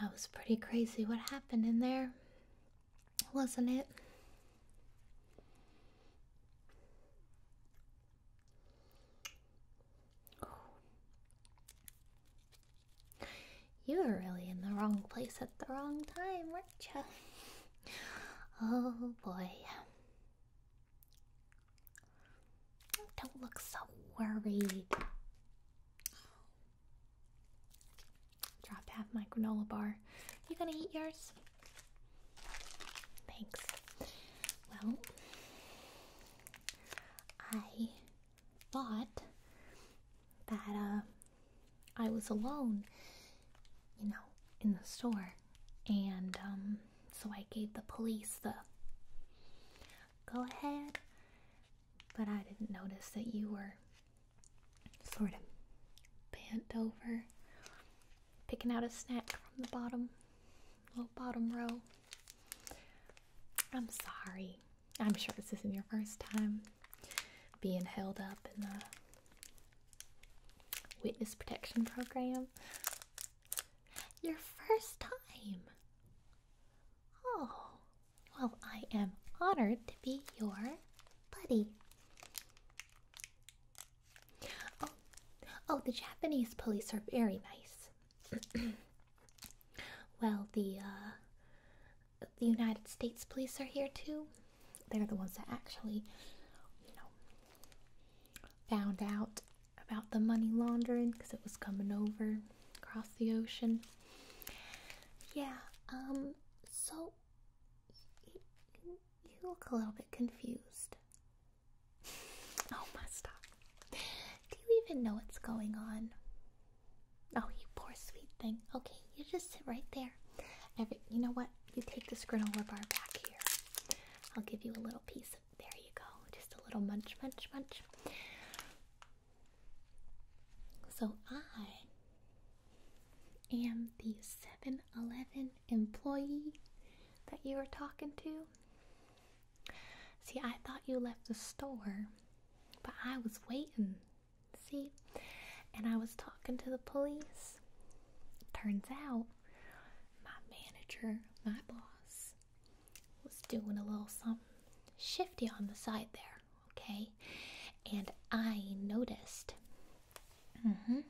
That was pretty crazy what happened in there, wasn't it? You were really in the wrong place at the wrong time, weren't you? Oh boy. Don't look so worried. Dropped half my granola bar. You gonna eat yours? Thanks. Well, I thought that uh, I was alone, you know, in the store, and um, so I gave the police the go ahead, but I didn't notice that you were sort of bent over, picking out a snack from the bottom, little bottom row. I'm sorry. I'm sure this isn't your first time being held up in the witness protection program. Your first time. Oh, well, I am honored to be your buddy. Oh, oh, the Japanese police are very nice. well, the uh, the United States police are here too. They're the ones that actually, you know, found out about the money laundering because it was coming over across the ocean. Yeah. Um. So you look a little bit confused. Oh, Masta. Do you even know what's going on? Oh, you poor sweet thing. Okay, you just sit right there. you know what? You take this granola bar back here. I'll give you a little piece. Of, there you go. Just a little munch, munch, munch. So I am the 7 Eleven employee that you were talking to. See, I thought you left the store, but I was waiting. See? And I was talking to the police. Turns out my manager, my boss, was doing a little something shifty on the side there, okay? And I noticed. Mm-hmm.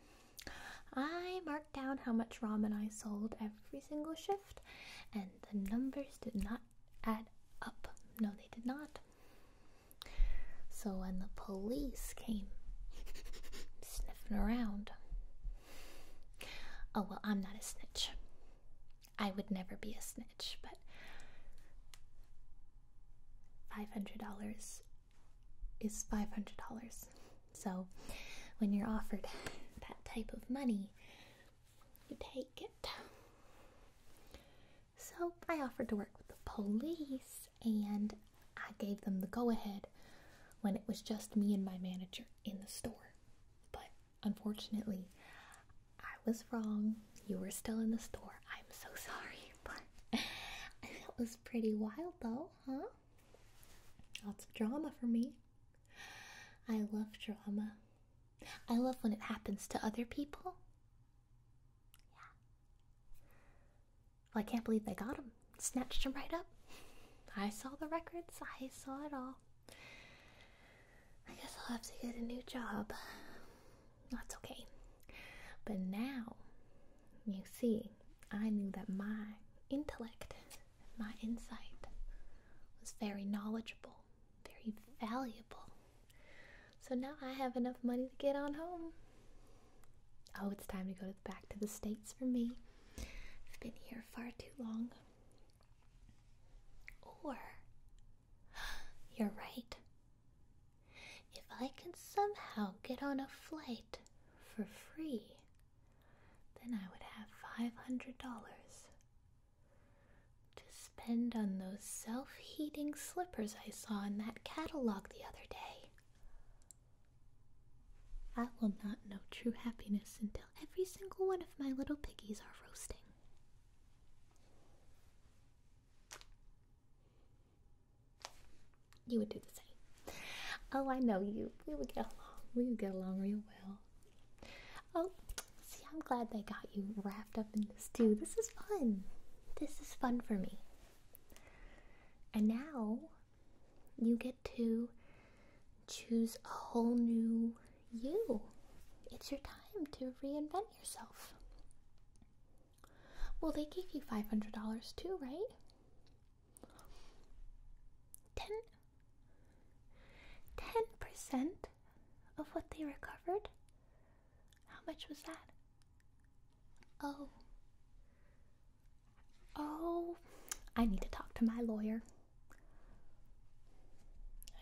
I marked down how much ramen I sold every single shift and the numbers did not add up. No, they did not. So when the police came sniffing around, oh well, I'm not a snitch. I would never be a snitch, but $500 is $500. So when you're offered that type of money, you take it. So I offered to work with the police and I gave them the go ahead when it was just me and my manager in the store. But unfortunately, I was wrong. You were still in the store. I'm so sorry. But that was pretty wild though, huh? Lots of drama for me. I love drama. I love when it happens to other people. Yeah. Well, I can't believe they got him. Snatched him right up. I saw the records. I saw it all. I guess I'll have to get a new job. That's okay. But now, you see, I knew that my intellect my insight was very knowledgeable, very valuable. So now I have enough money to get on home. Oh, it's time to go back to the States for me. I've been here far too long. Or, you're right. If I can somehow get on a flight for free, then I would have $500 to spend on those self heating slippers I saw in that catalog the other day. I will not know true happiness until every single one of my little piggies are roasting. You would do the same. Oh, I know you. We would get along. We would get along real well. Oh, see, I'm glad they got you wrapped up in this too. This is fun. This is fun for me. And now you get to choose a whole new you. It's your time to reinvent yourself. Well, they gave you $500 too, right? Ten 10% of what they recovered? How much was that? Oh. Oh, I need to talk to my lawyer.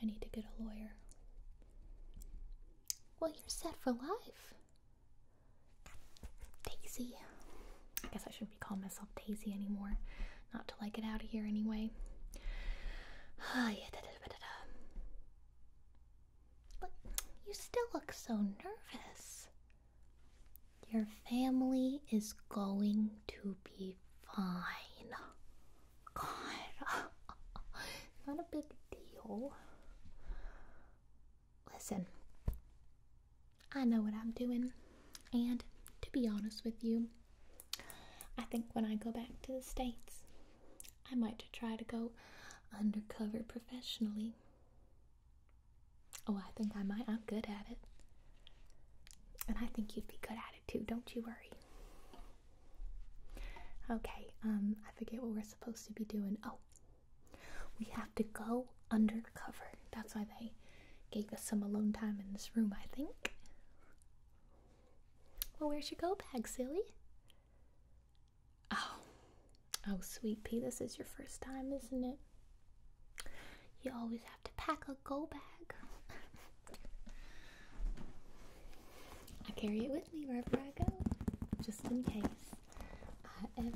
I need to get a lawyer. Well, you're set for life. Daisy. I guess I shouldn't be calling myself Daisy anymore. Not till I get out of here anyway. Look, ah, you still look so nervous. Your family is going to be fine. God, not a big deal. Listen, I know what I'm doing, and to be honest with you, I think when I go back to the States, I might try to go undercover professionally. Oh, I think I might. I'm good at it. And I think you'd be good at it too, don't you worry. Okay, um, I forget what we're supposed to be doing. Oh, we have to go undercover. That's why they gave us some alone time in this room, I think. Well, where's your go bag, silly? Oh, oh, sweet pea, this is your first time, isn't it? You always have to pack a go bag. I carry it with me wherever I go, just in case I ever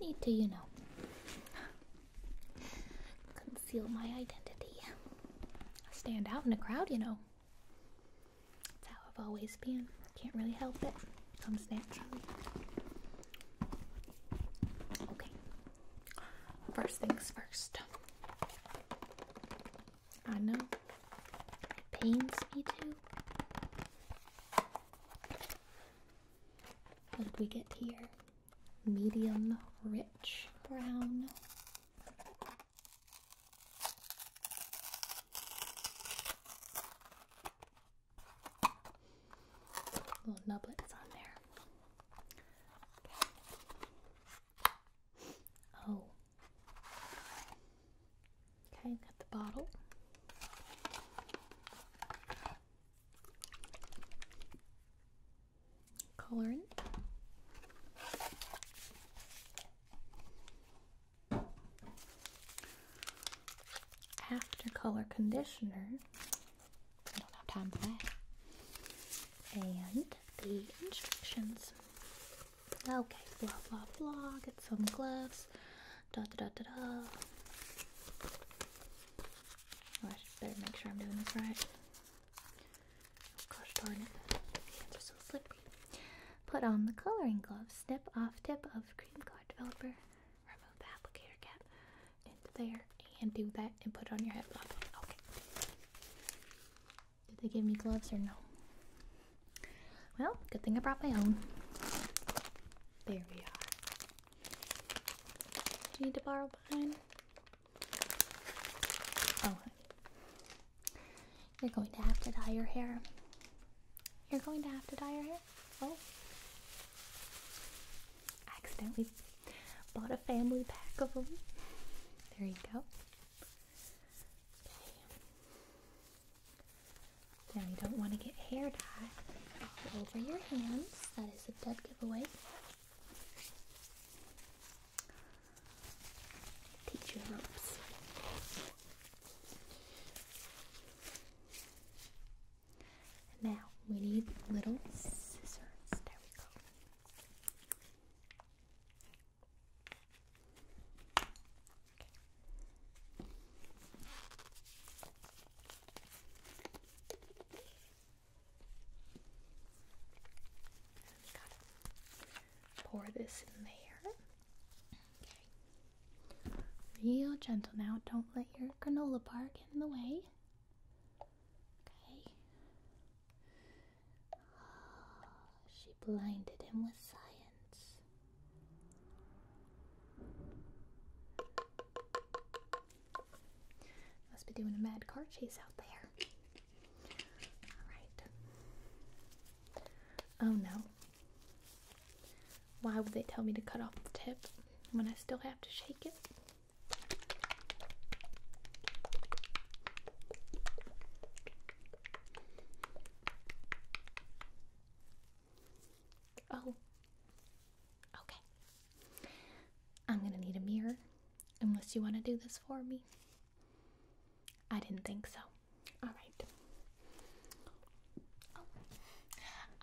need to, you know, Conceal my identity. Stand out in a crowd, you know. That's how I've always been. Can't really help it. Comes naturally. Okay. First things first. I know. It pains me too. How did we get here? medium rich brown. Little nublets on there. Oh. Okay, got the bottle colorant. After color conditioner, And the instructions. Okay, blah blah blah. Get some gloves. Da da da da da. Oh, I should better make sure I'm doing this right. gosh darn it. The hands are so slippery. Put on the coloring gloves. Snip off tip of cream card developer. Remove the applicator cap into there and do that and put on your head. Okay. Did they give me gloves or no? Well, good thing I brought my own. There we are. Do you need to borrow mine? Oh, you're going to have to dye your hair. You're going to have to dye your hair. Oh, accidentally bought a family pack of them. There you go. Now you don't want to get hair dye all over your hands. That is a dead giveaway. Teach you Now we need little scissors. There we go pour this in there. Okay. Real gentle now. Don't let your granola bar get in the way. Okay. Oh, she blinded him with science. Must be doing a mad car chase out there. Alright. Oh no. Why would they tell me to cut off the tip when I still have to shake it? Oh. Okay. I'm gonna need a mirror, unless you want to do this for me. I didn't think so. Alright. Oh,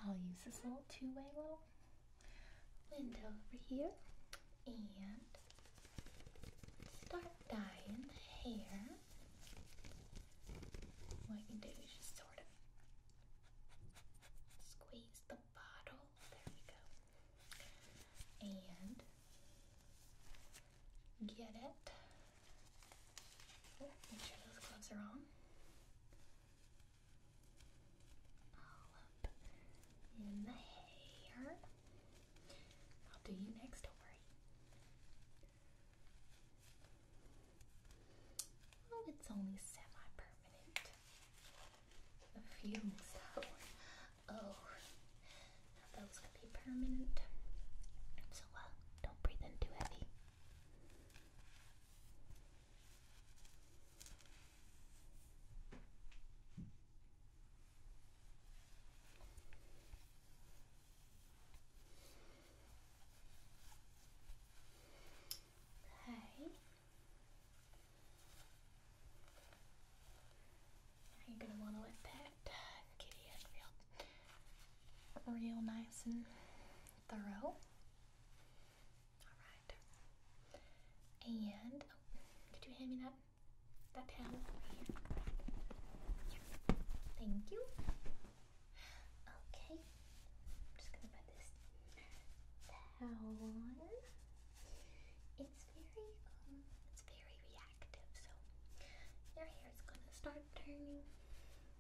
I'll use this little two way window over here and start dyeing the hair. What I do is just sort of squeeze the bottle. There we go. And get it. Oh, make sure those gloves are on. All up in the hair. I'll do you next, do Oh, it's only semi perfect permanent feeling. So, oh, that was gonna be permanent. So, uh, don't breathe in too heavy. Okay. You're gonna want to let that uh, kitty feel real nice and thorough. Alright. And oh, could you hand me that that towel over here? Thank you. Okay this towel. It's very um, it's very reactive, so your hair is gonna start turning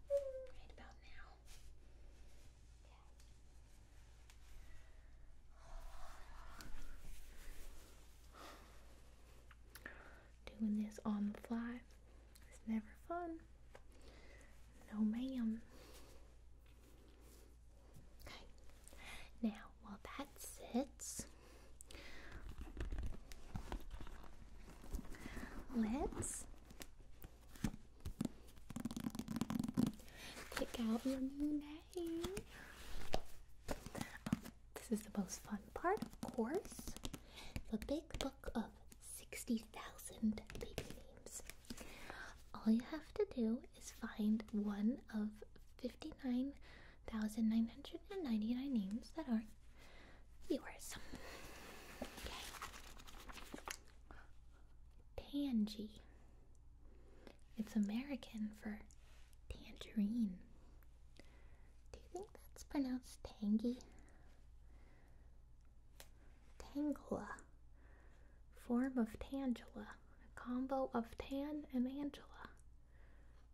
right about now. Doing this on the fly is never fun. No, ma'am. Okay. Now, while that sits, let's pick out your new name. Oh, this is the most fun part, of course. The big book of 60,000 baby names. All you have to do is find one of 59,999 names that are not yours. Okay. Tangy. It's American for tangerine. Do you think that's pronounced tangy? Tangla. Form of Tangela. A combo of Tan and Angela.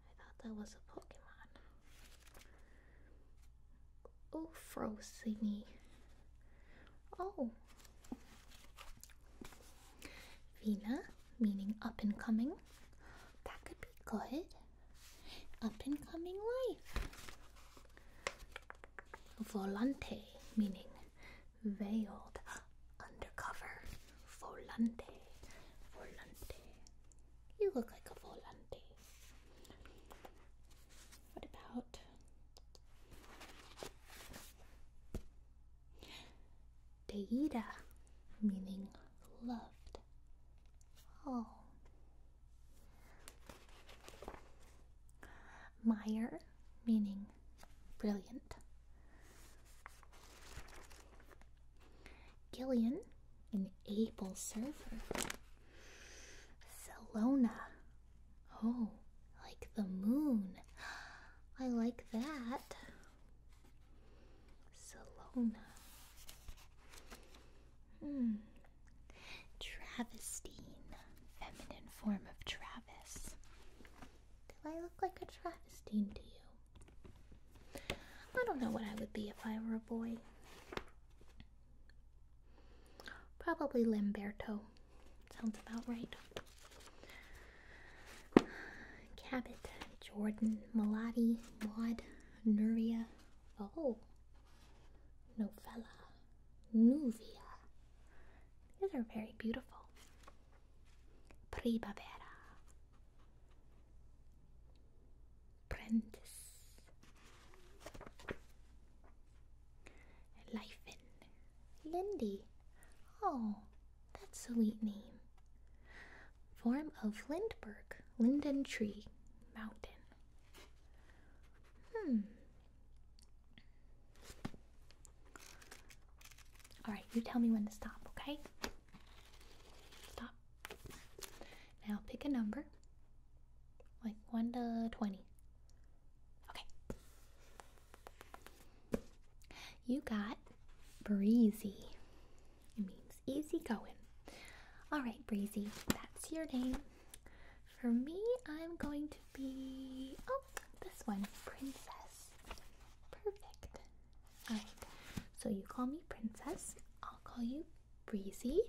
I thought that was a Pokemon. Oofrosingy. Oh. Vina, meaning up and coming. That could be good. Up and coming life. Volante, meaning veiled, undercover. Volante, volante. You look like a volante. What about deida, meaning loved? Oh. Meyer, meaning brilliant. Gillian, an able server. Salona, oh, like the moon. I like that. Salona. Hmm. Travestine, feminine form of Travis. Do I look like a travestine to you? I don't know what I would be if I were a boy. Probably Lamberto. Sounds about right. Cabot, Jordan, Malati, Maud, Nuria. Oh. Novella. Nuvia. These are very beautiful. Primavera. Prentice. Lifen. Lindy. Oh, that's a sweet name. Form of Lindbergh. Linden tree. Mountain. Hmm, all right, you tell me when to stop, okay? Stop. Now pick a number, like 1 to 20. Okay. You got breezy. It means easy going. All right, breezy, that's your name. For me, I'm going to be oh this one, princess. Perfect. Alright, so you call me princess. I'll call you breezy.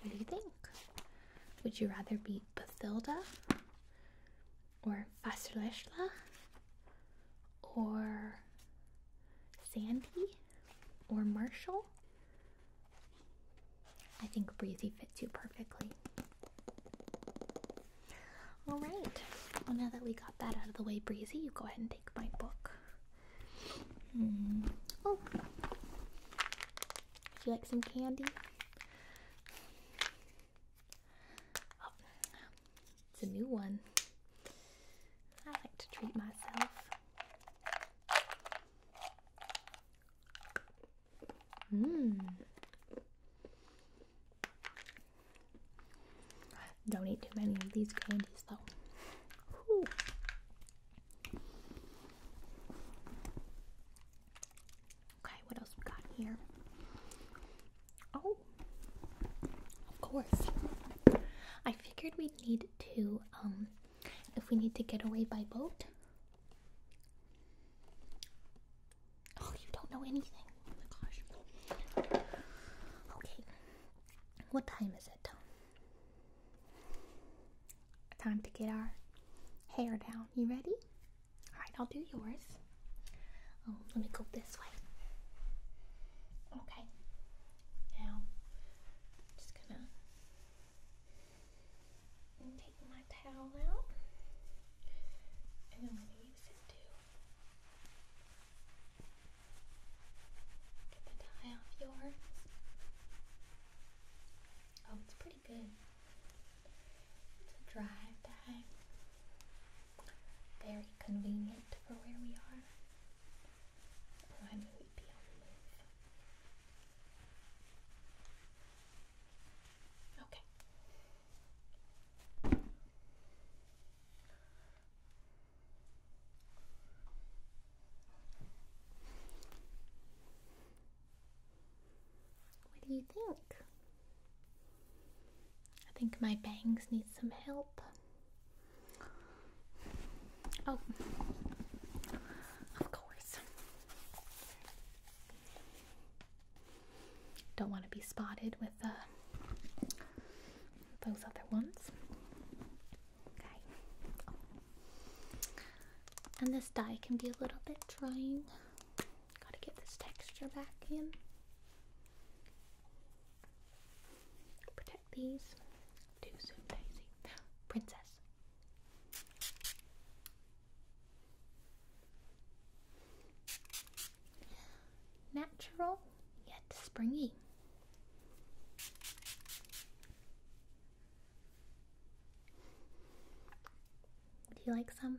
What do you think? Would you rather be Bathilda or Fasileshla or Sandy or Marshall? I think breezy fits you perfectly. All right. Well, now that we got that out of the way, breezy, you go ahead and take my book. Hmm. Oh, would you like some candy? Oh. it's a new one. I like to treat myself do Don't eat too many of these candies though. Okay, what else we got here? Oh, of course. I figured we'd need to, um, if we need to get away by boat, Oh, you don't know anything. Okay. What time is it? Time to get our hair down. You ready? Alright, I'll do yours. Oh, let me go this way. Okay. Now, just gonna my towel out and I'm going to use it to get the dye off yours. Oh, it's pretty good. It's a dry dye. Very convenient for where we are. Why would we be on the move? Okay. What do you think? I think my bangs need some help. Oh, of course. Don't want to be spotted with uh, those other ones. Okay. And this dye can be a little bit drying. Gotta get this texture back in. Protect these. Too soon, Daisy. Princess. Natural yet springy. Do you like some?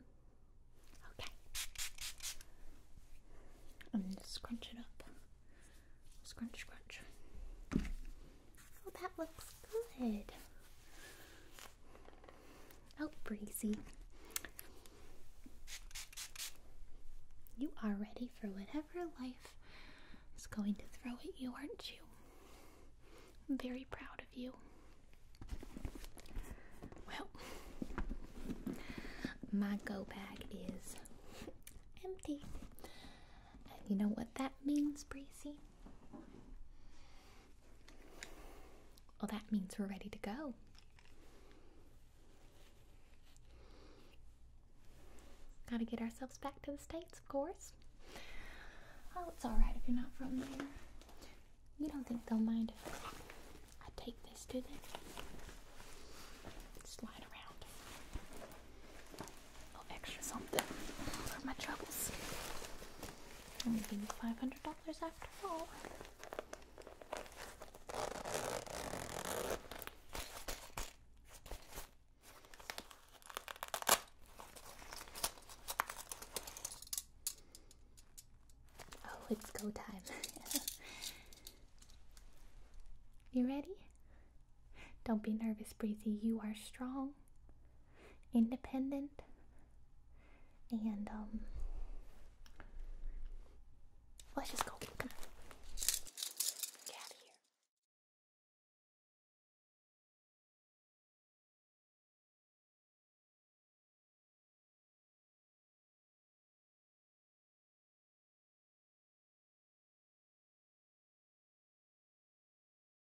Okay. I'm going scrunch it up. Scrunch, scrunch. Oh, that looks good. Oh, Breezy. You are ready for whatever life is going to throw at you, aren't you? I'm very proud of you. Well, my go bag is empty you know what that means, Breezy? Well, that means we're ready to go. Gotta get ourselves back to the States, of course. Oh, it's alright if you're not from there. You don't think they'll mind if I take this, to them? Slide around little extra something for my troubles. Only five hundred dollars after all. Oh, it's go time. you ready? Don't be nervous, Breezy. You are strong independent and um, let's just go